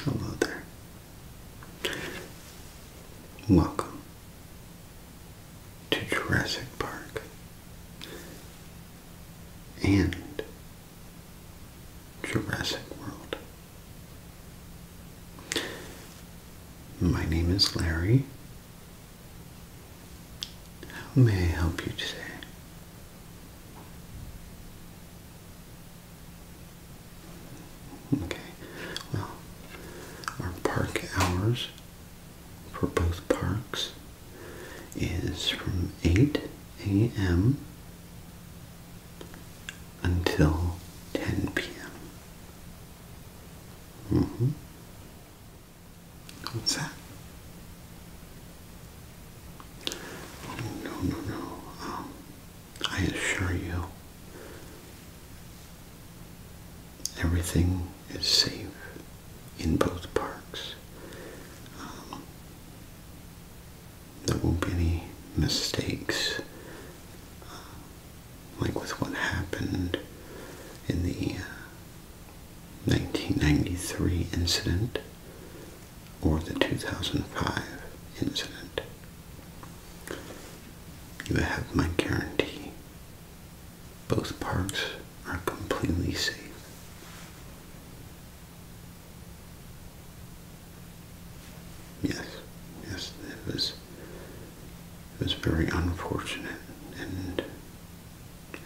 Hello there. Welcome to Jurassic Park and Jurassic World. My name is Larry. How may I help you today? Okay, well, our park hours for both parks is from 8 a.m. until 10 p.m. Mm-hmm. What's that? no, no, no. Um, I assure you, everything is safe in both parks. Um, there won't be any mistakes uh, like with what happened in the 1993 uh, incident or the 2005 incident. You have my guarantee. Both parks are completely safe. Yes, yes, it was it was very unfortunate and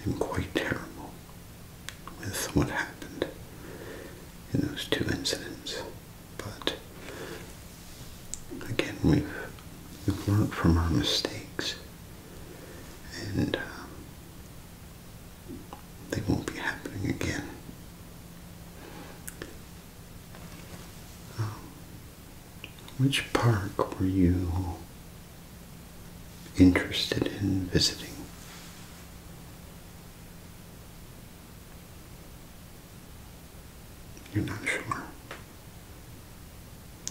I'm quite terrible with what happened in those two incidents. But again, we've, we learned from our mistakes, and um, they won't be happening again. Um, which park were you interested in visiting. You're not sure.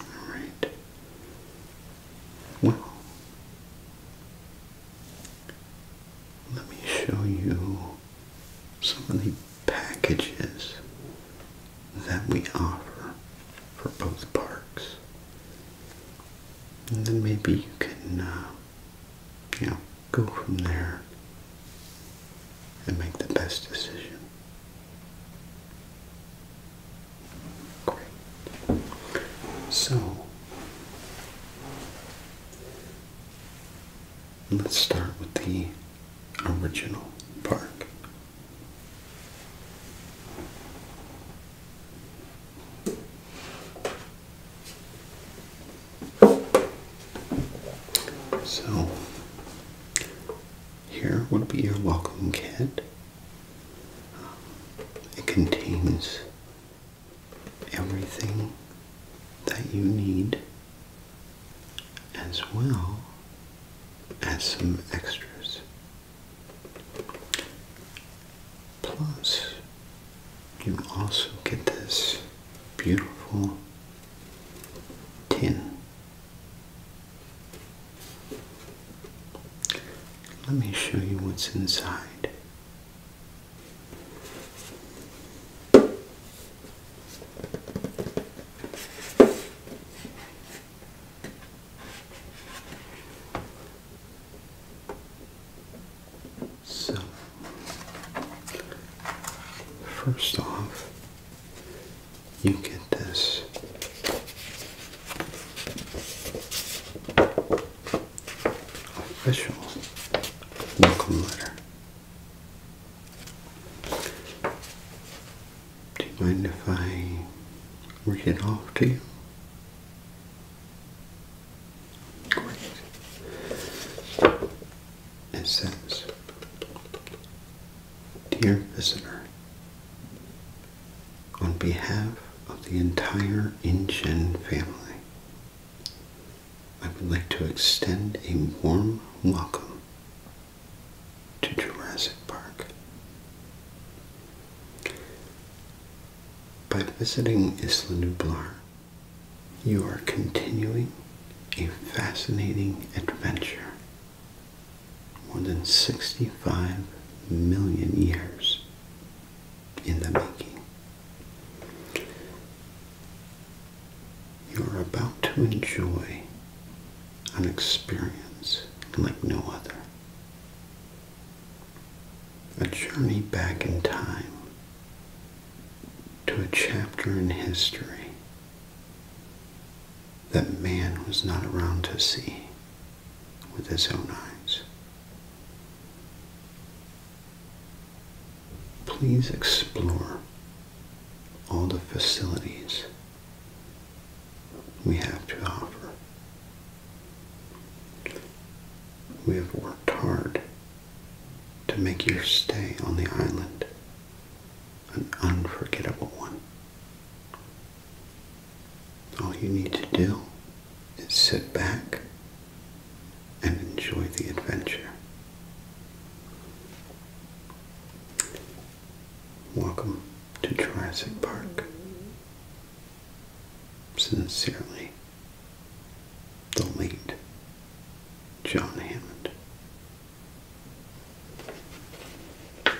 All right. Well, let me show you some of the packages that we offer for both parks and then maybe you can, uh, you know, go from there and make the best decision. Great. So, let's start with the original park. So, here would be your welcome kit. it contains everything that you need, as well as some extras Plus, you also get this beautiful tin. Let me show you what's inside. So, first off, you get this official welcome letter. Do you mind if I read it off to you? It says, Dear visitor, on behalf of the entire InGen family, I would like to extend a warm welcome to Jurassic Park. By visiting Isla Nublar, you are continuing a fascinating adventure more than 65 million years in the making. You are about to enjoy an experience like no other. A journey back in time to a chapter in history that man was not around to see with his own eyes. Please explore all the facilities we have to offer we have worked hard to make your stay on the island an unforgettable one. All you need to do is sit back and enjoy the adventure. Welcome to Jurassic Park. Sincerely, the late John Hammond.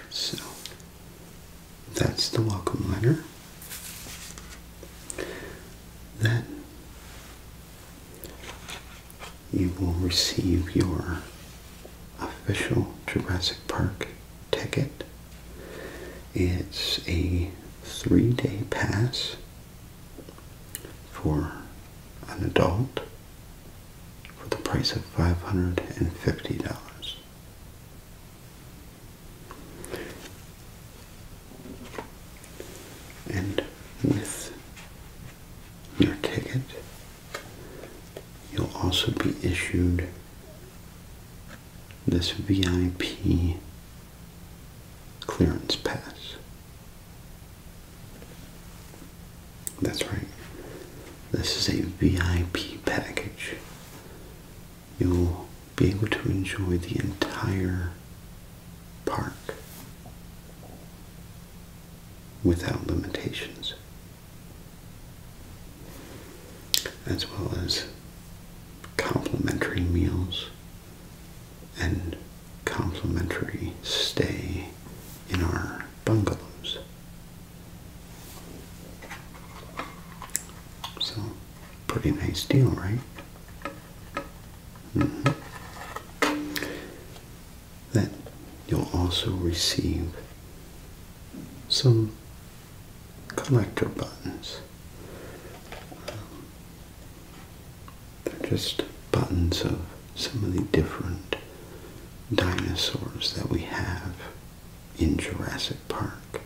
So, that's the welcome letter. Then you will receive your official Jurassic Park ticket it's a three day pass for an adult for the price of $550. And with your ticket, you'll also be issued this VIP clearance pass. That's right. This is a VIP package. You'll be able to enjoy the entire park without limitations as well as complimentary meals and complimentary stay in our bungalows. So, pretty nice deal, right? Mm-hmm. Then you'll also receive some collector buttons. they're just buttons of some of the different dinosaurs that we have in Jurassic Park.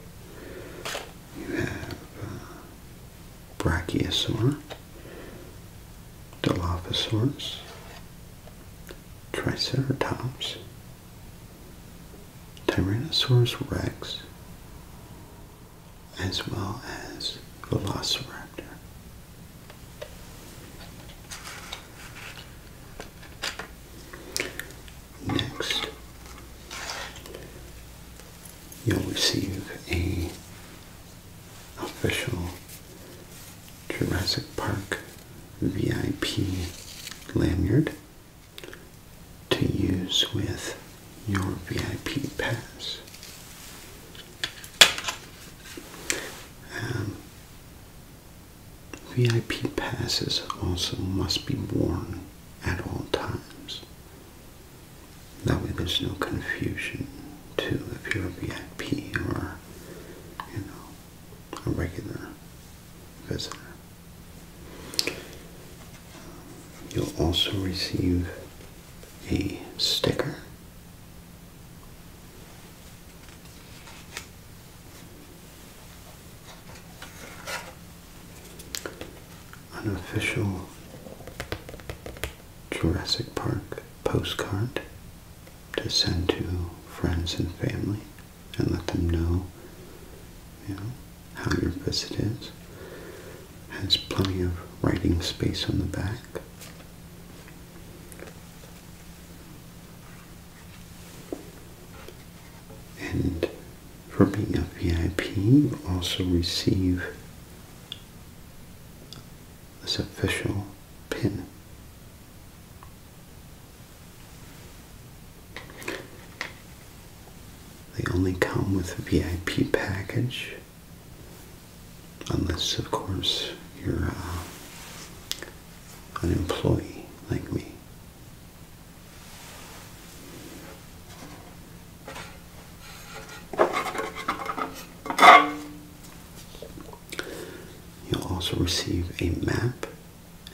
You have uh, Brachiosaur, Dilophosaurus, Triceratops, Tyrannosaurus rex as well as Velociraptor. Next, you'll receive a official Jurassic Park VIP lanyard to use with your VIP pass. Um, VIP passes also must be worn at all times. That way there's no confusion to if you're a VIP or you know a regular visitor. You'll also receive a sticker an official Jurassic Park postcard to send to friends and family and let them know, you know how your visit is. Has plenty of writing space on the back. And for being a VIP, you also receive this official pin they only come with a VIP package, unless, of course, you're uh, an employee like me. You'll also receive a map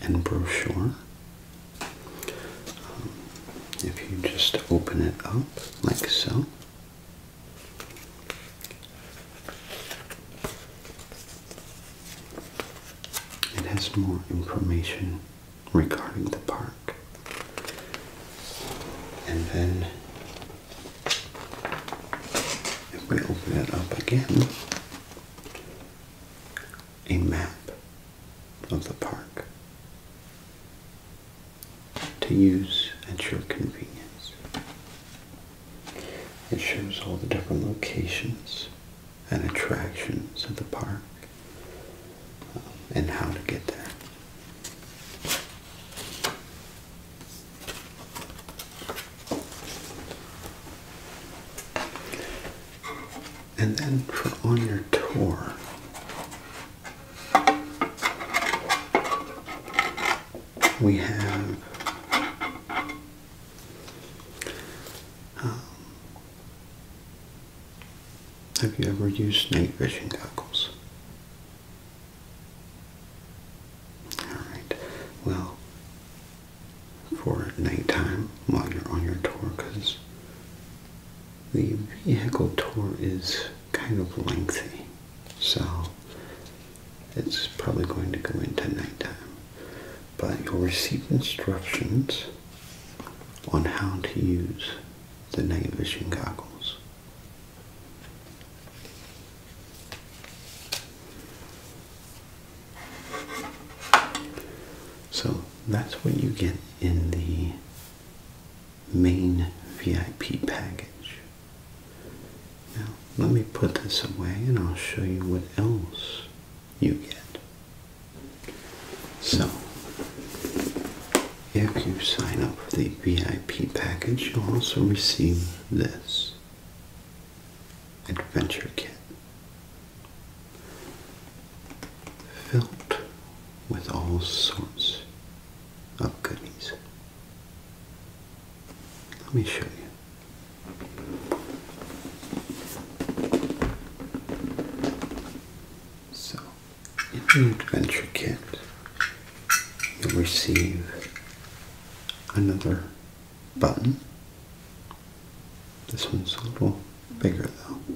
and brochure. Um, if you just open it up like so, it has more information regarding the park. And then, if we open it up again, a map of the park to use at your convenience. It shows all the different locations and attractions of the park um, and how to get there. And then for on your tour, we have um, have you ever used night vision goggles? Alright, well, for nighttime while you're on your tour because the vehicle tour is kind of lengthy. So it's probably going to go into nighttime. But you'll receive instructions on how to use the night vision goggles. So that's what you get in the main VIP package. Now, let me put this away and I'll show you what else you get. So, if you sign up for the VIP package, you'll also receive this adventure kit filled with all sorts of goodies. Let me show you. So, in the adventure kit, you'll receive another button. This one's a little bigger though.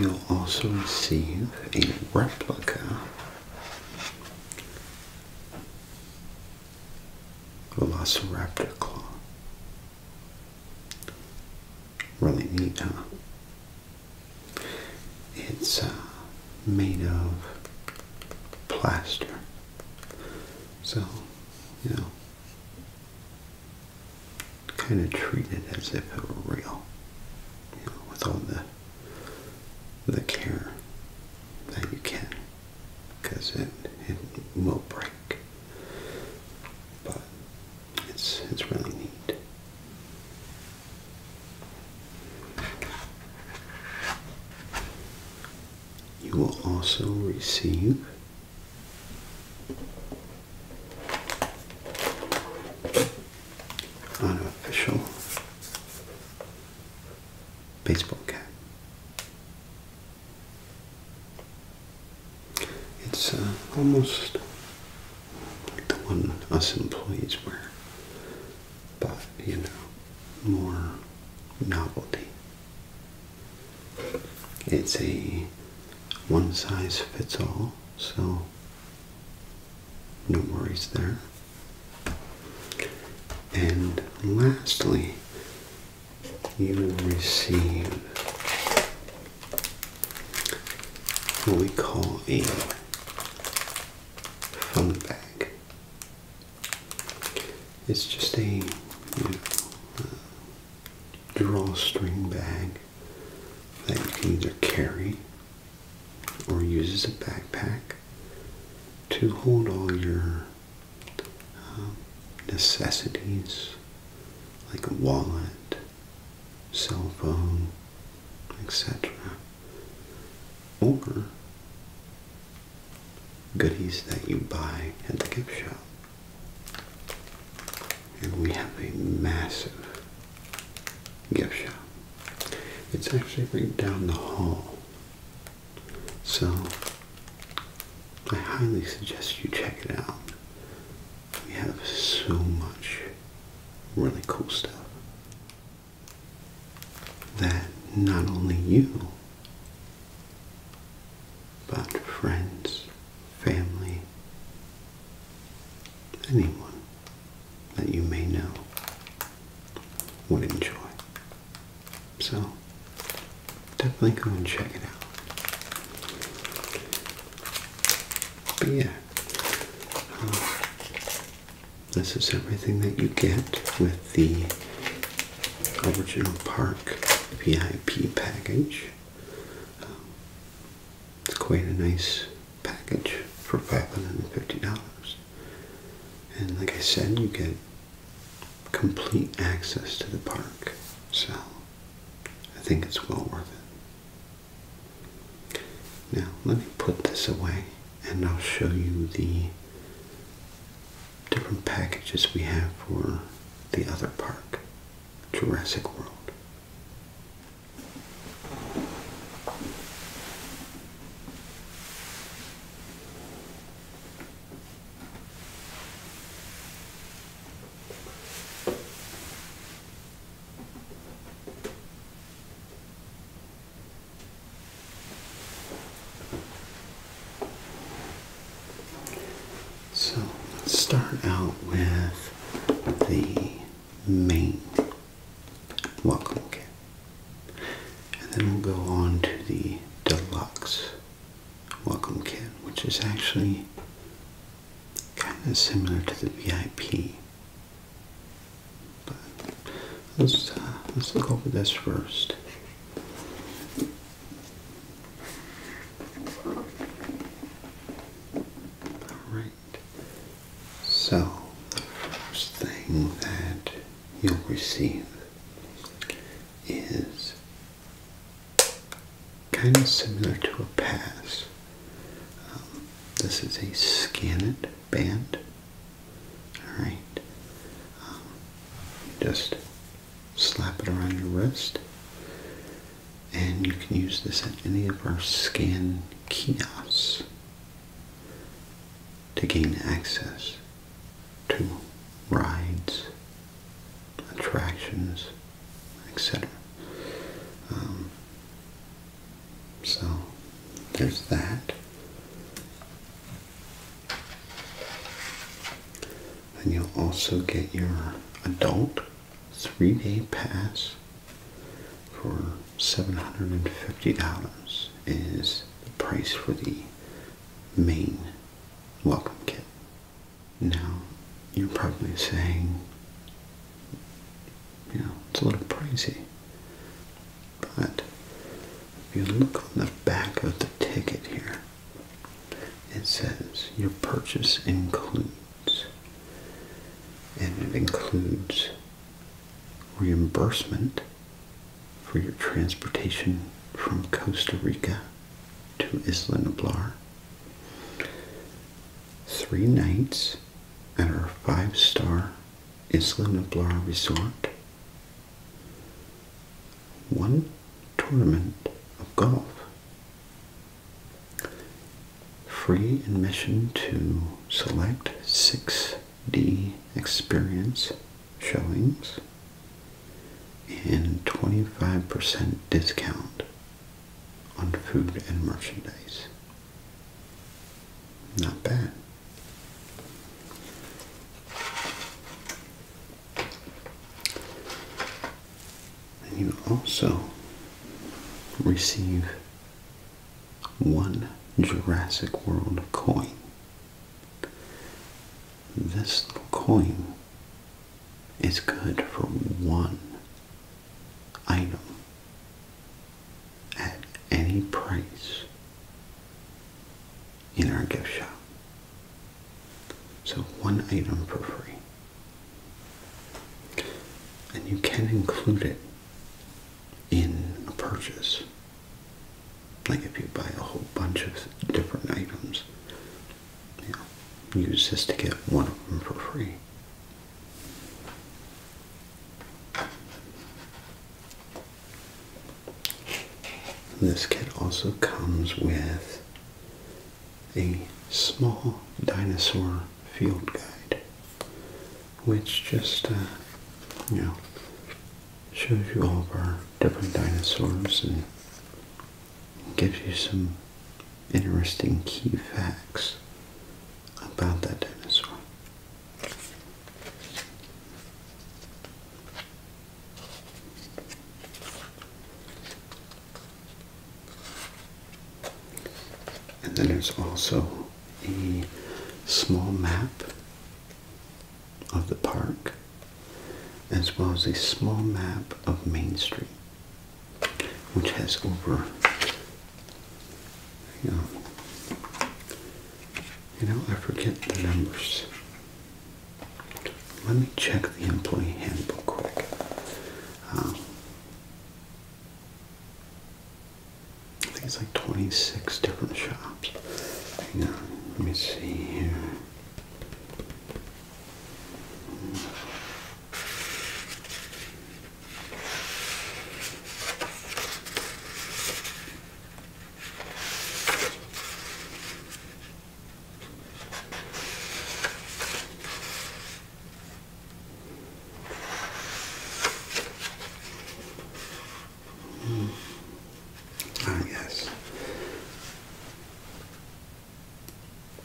You'll also receive a replica Velociraptor claw. Really neat, huh? It's uh, made of plaster. So, you know, kind of treat it as if it were real, with all the the care that you can, because it it will break. But it's it's really neat. You will also receive an official baseball cap. It's uh, almost like the one us employees wear, but you know, more novelty. It's a one size fits all, so no worries there. And lastly, you will receive what we call a fun bag. It's just a drawstring bag that you can either carry or use as a backpack to hold all your um, necessities like a wallet, cell phone, etc. Or goodies that you buy at the gift shop. And we have a massive gift shop. It's actually right down the hall. So I highly suggest you check it out. We have so much really cool stuff that not only you, but friends, family, anyone that you may know would enjoy. So definitely go and check it out. But yeah, this is everything that you get with the original park VIP package. Um, it's quite a nice package for $550. And like I said, you get complete access to the park. So I think it's well worth it. Now, let me put this away and I'll show you the different packages we have for the other park, Jurassic World. So let's start out with the main welcome kit. And then we'll go on to the deluxe welcome kit, which is actually kind of similar to the VIP. But let's uh, let's look over this first. All right. So the first thing that you'll receive is kind of similar to a pass. Um, this is a scan it band. Alright. Um, just slap it around your wrist. And you can use this at any of our scan kiosks to gain access to rides, attractions, etc. So there's that. And you'll also get your adult three day pass for $750 is the price for the main welcome kit. Now, you're probably saying, you know, it's a little pricey. But if you look on the back of the ticket here, it says your purchase includes, and it includes reimbursement for your transportation from Costa Rica to Isla Nublar. Three nights at our five-star Isla Nublar Resort. One tournament of golf. Free admission to select 6D experience showings and 25% discount on food and merchandise. Not bad. And you also receive one Jurassic World coin. This coin is good for one item at any price in our gift shop. So one item for free. And you can include it in a purchase. Like if you buy a whole bunch of different items, use this to get one of them for free. This kit also comes with a small dinosaur field guide, which just, uh, you know, shows you all of our different dinosaurs and gives you some interesting key facts about that dinosaur. And then there's also a small map of the park, as well as a small map of Main Street which has over, you know, you know, I forget the numbers. Let me check the employee handbook quick. Um, I think it's like 26 different shops. Hang on, let me see here. Ah, hmm. yes.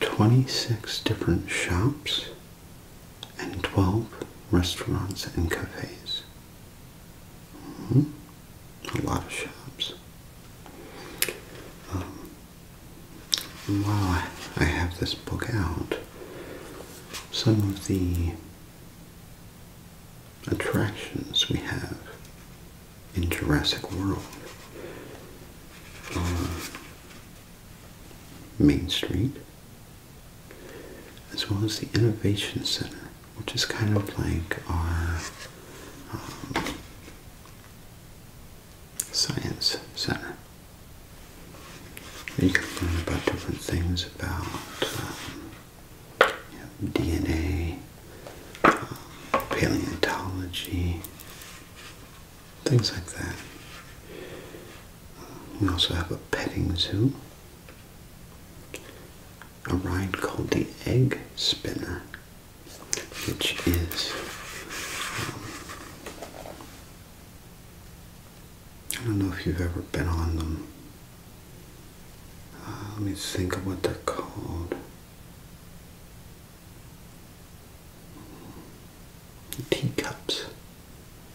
26 different shops and 12 restaurants and cafes. Hmm? A lot of shops. Um, while I have this book out, some of the attractions we have in Jurassic World. Um, Main Street, as well as the Innovation Center, which is kind of like our um, Science Center. You can learn about different things about um, DNA, um, paleontology, things like that. We also have a petting zoo, a ride called the Egg Spinner, which is um, I don't know if you've ever been on them. Uh, let me think of what they're called teacups,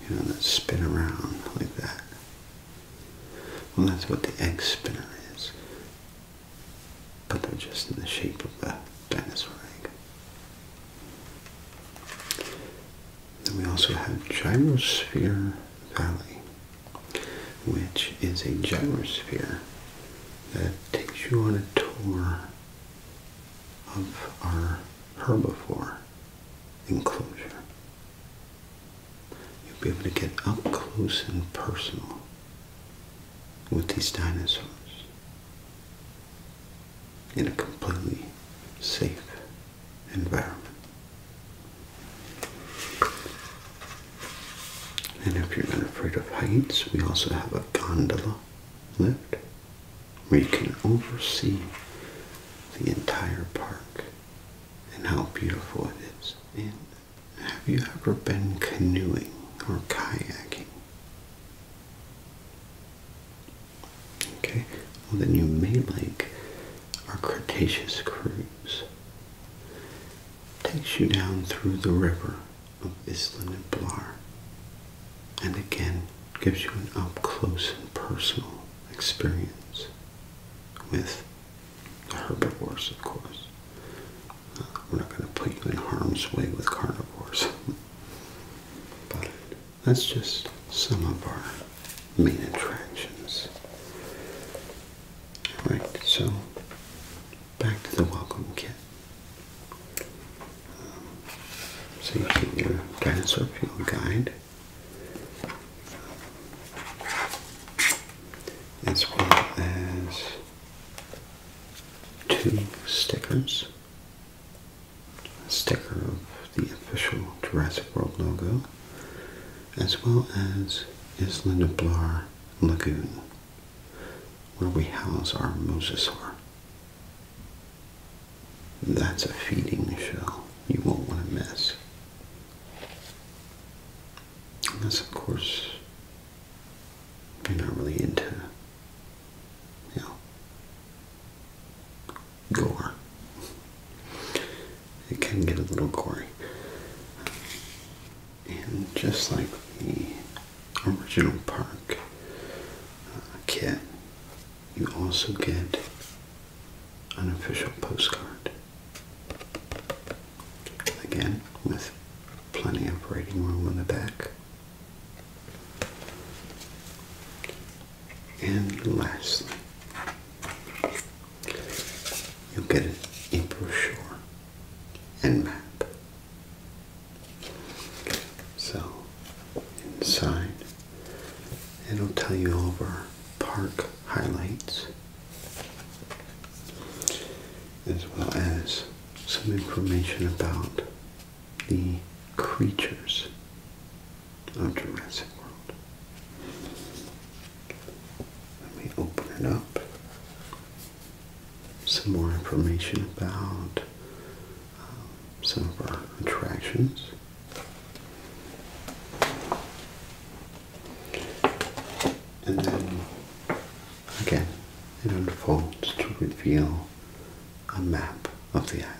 you know, that spin around like that. Well, that's what the egg spinner is, but they're just in the shape of a dinosaur egg. Then we also have Gyrosphere Valley, which is a gyrosphere that takes you on a tour of our herbivore enclosure. You'll be able to get up close and personal with these dinosaurs in a completely safe environment. And if you're not afraid of heights, we also have a gondola lift where you can oversee the entire park and how beautiful it is. And have you ever been canoeing or kayaking? Okay, well then you may like our Cretaceous cruise. takes you down through the river of Islan and Blar. And again, gives you an up close and personal experience with herbivores, of course. Uh, we're not going to put you in harm's way with carnivores. but that's just some of our main attractions. Alright, so back to the welcome kit. So you get your dinosaur field guide as well as two stickers. A sticker of the official Jurassic World logo as well as Isla de Blar Lagoon where we house our mosasaur. That's a feeding shell you won't want to miss. Unless, of course, you're not really into, you know, gore. It can get a little gory. And just like the original park kit, you also get an official postcard. Again, with plenty of reading room on the back. And lastly, you get a brochure and map so inside it'll tell you all of our park highlights as well as some information about the creatures of Jurassic World. Let me open it up. Some more information about some of our attractions. And then again, it unfolds to reveal a map of the island.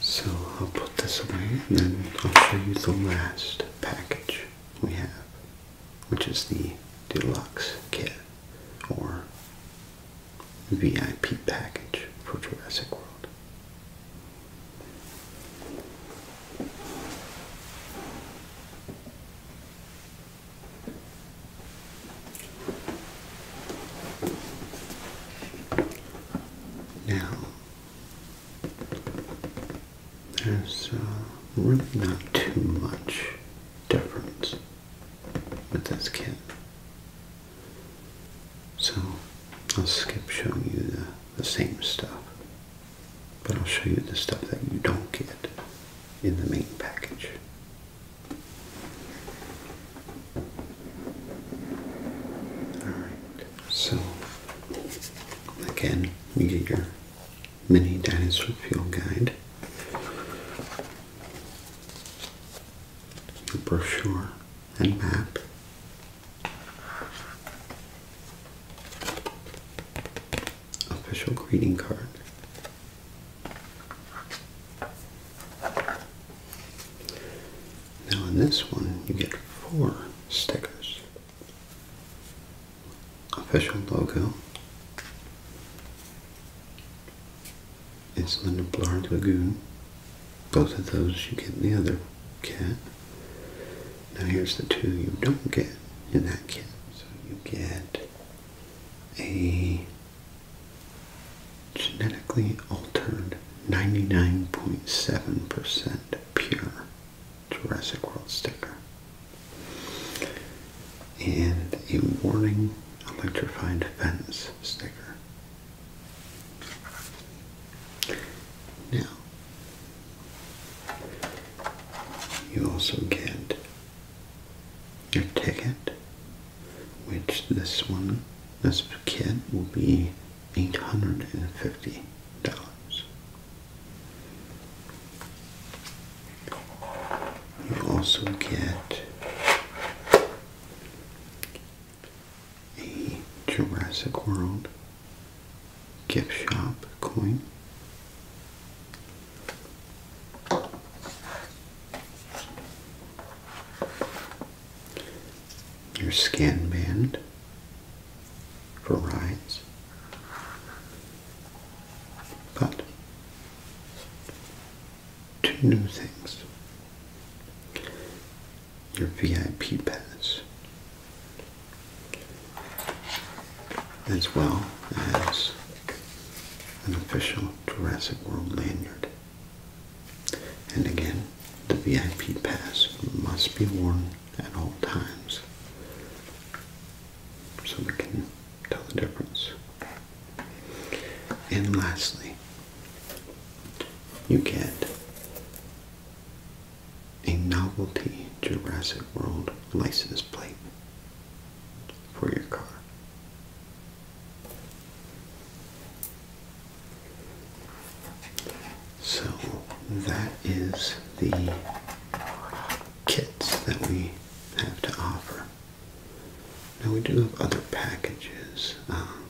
So I'll put this away and then I'll show you the last package we have, which is the deluxe kit or VIP package for Jurassic World. Now, there's uh, really not too much difference with this kit. So I'll skip showing you the, the same stuff, but I'll show you the stuff that you don't get in the main package. Alright. So, again, we get your mini dinosaur fuel guide, your brochure and map. Official greeting card. Now in this one, you get four stickers. Official logo. It's Linda Blard Lagoon. Both of those you get the other cat. Now here's the two you don't get in that kit. So you get a genetically altered 99.7% pure Jurassic World sticker. And a warning electrified fence sticker. Now, you also get your ticket, which this one, this ticket, will be $850. You also get a Jurassic World gift shop coin your scan band for rides. But two new things your VIP pass, as well as an official Jurassic World lanyard. And again, the VIP pass must be worn at all times so we can tell the difference. And lastly, you get a novelty Jurassic World license plate for your car. So that is the kits that we have to offer. Now we do have other packages. Um,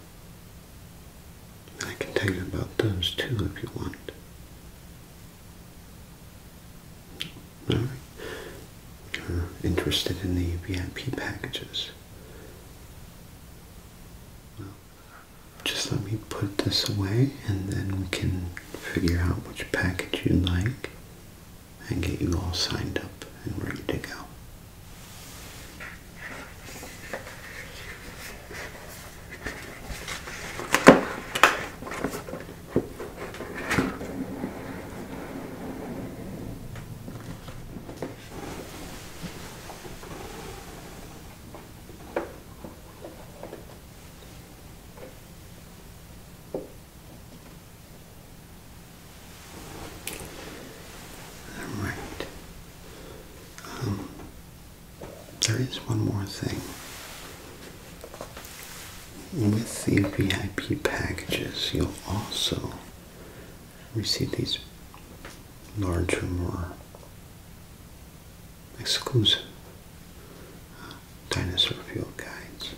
I can tell you about those too if you want. Alright. Uh, interested in the VIP packages? just let me put this away and then we can figure out which package you like and get you all signed up and ready to go. All right. Um, there is one more thing. With the VIP packages, you'll also we see these larger, more exclusive dinosaur field guides.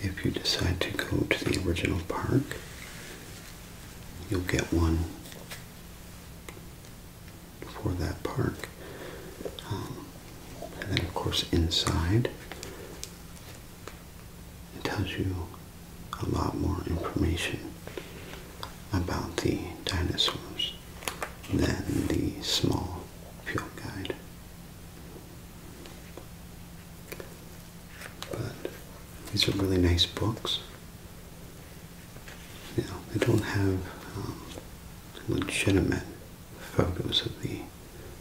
If you decide to go to the original park, you'll get one for that park. Um, and then, of course, inside it tells you a lot more information about the dinosaurs than the small field guide. But these are really nice books. You know, they don't have um, legitimate photos of the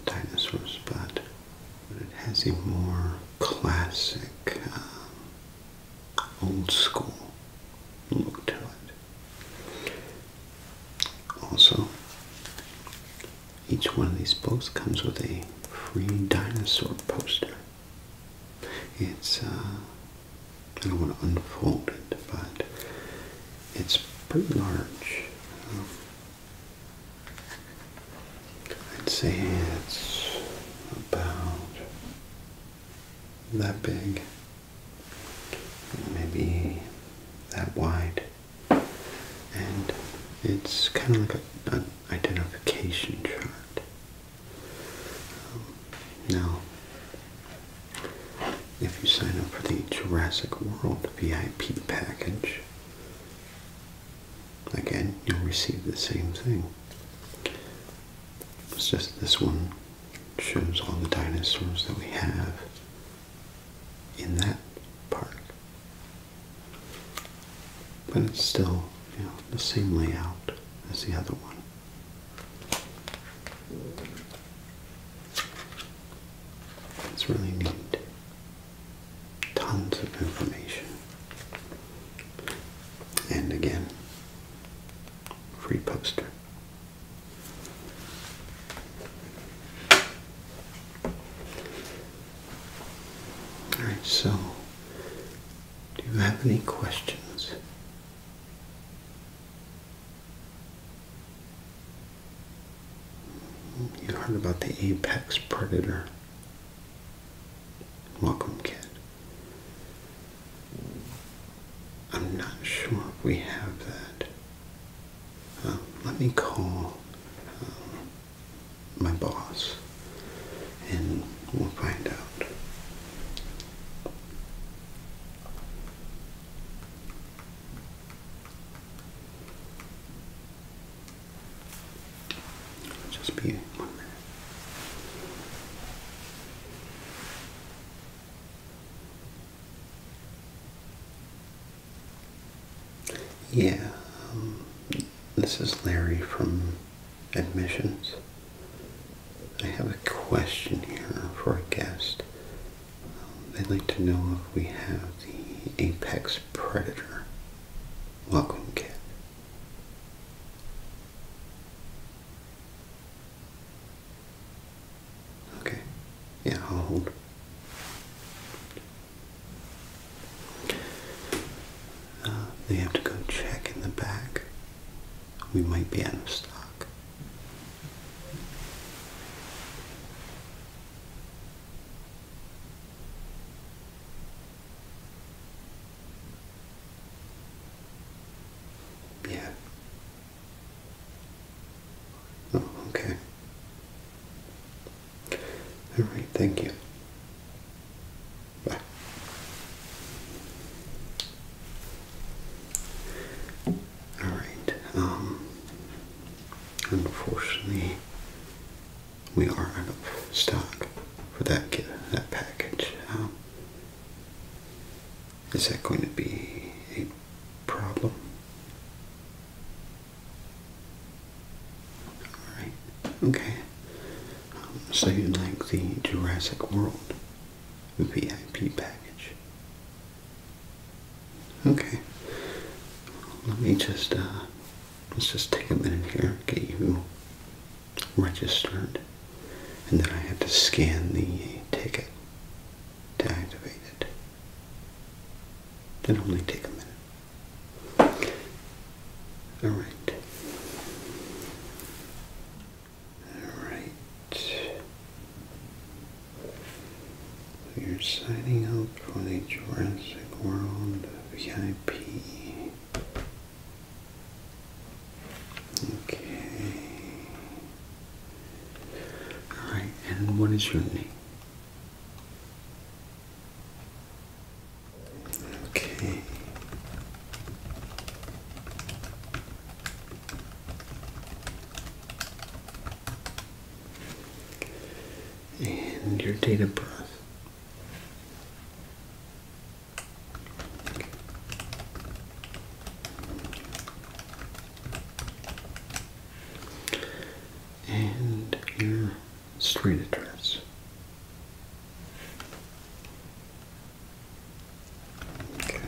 dinosaurs, but, it has a more classic um, old school look to it. Also, each one of these books comes with a free dinosaur poster. It's, uh, I don't want to unfold it, but it's pretty large. Um, I'd say it's about that big, maybe that wide, and it's kind of like an identification chart. now, if you sign up for the Jurassic World VIP package, again, you'll receive the same thing. It's just this one shows all the dinosaurs that we have in that park. But it's still, you know, the same layout as the other one. It's really neat. Tons of information. And again, free poster. Alright, so do you have any questions? You heard about the apex predator. Welcome, kid. I'm not sure we have that. Um, let me call um, my boss and we'll find out just be one minute. Yeah, um, this is Larry from Admissions. I have a question here for a guest. Um, i would like to know if we have the Apex Predator. Welcome, Kit. Okay, yeah, I'll hold. Uh, they have to go check in the back. We might be out of stock. Yeah. Oh, okay. All right, thank you. Bye. All right. Um unfortunately we are out of stock for that kit, that package. is that going to be a problem? Alright, okay. Um, so you'd like the Jurassic World VIP package? Okay. Let me just, uh, let's just take a minute here, get you registered, and then I had to scan the ticket to activate it. It only take a minute. All right. All right. You're signing up for the Jurassic World VIP Okay. Alright, and what is your name? Okay. And your date of birth and your street address. Okay.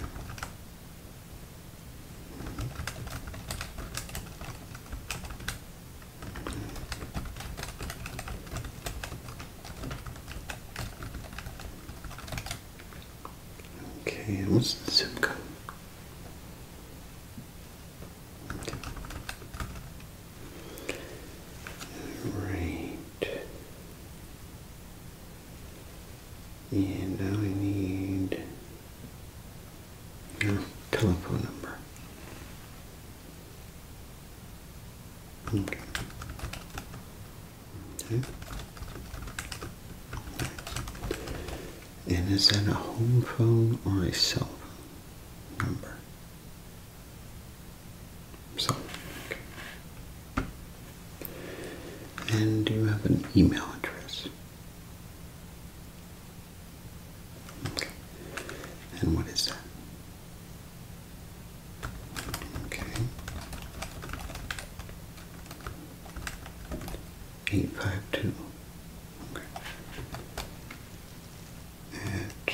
Okay, and what's the zip code? Right. And now I need your telephone number. Okay. Okay. And is that a home phone or a cell phone number? So, okay. and do you have an email address? Okay. And what is that? Okay. Eight five two. Okay. At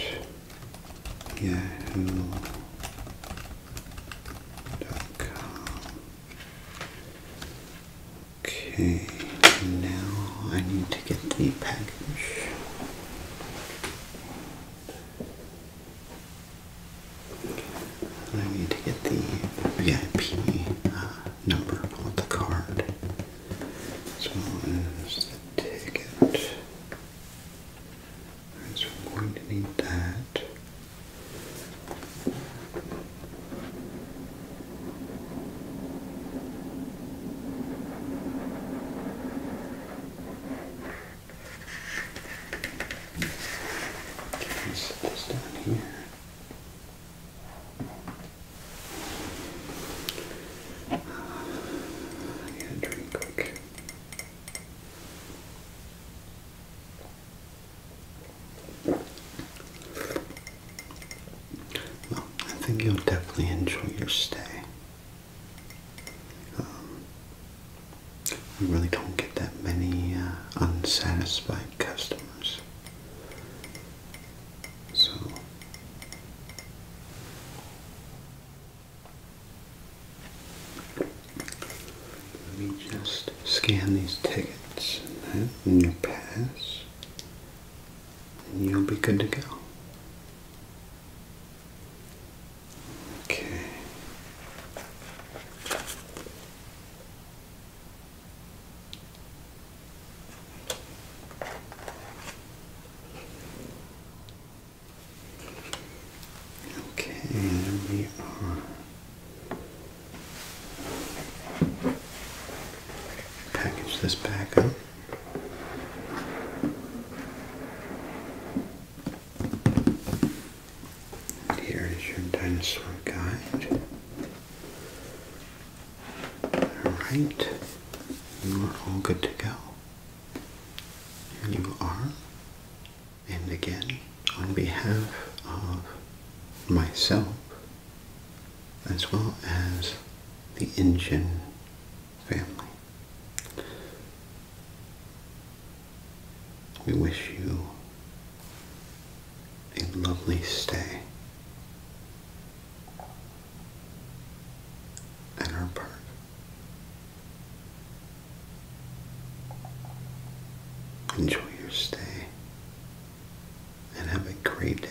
yahoo.com. Okay, now I need to get the package. I need to get the VIP uh, number on the card. as well as the ticket. so I'm going to need that. Okay, set this down here. Uh, I need a drink quick. Well, I think you'll definitely enjoy your stay. Um, we really don't get that many uh, unsatisfied customers. So. Let me just scan these tickets and your pass, and you'll be good to go. Okay. Okay, and we are package this back up. And here is your dinosaur guide. Alright, you are all good to go. you are, and again, on behalf of myself, as well as the engine family. We wish you a lovely stay at our park. Enjoy your stay and have a great day.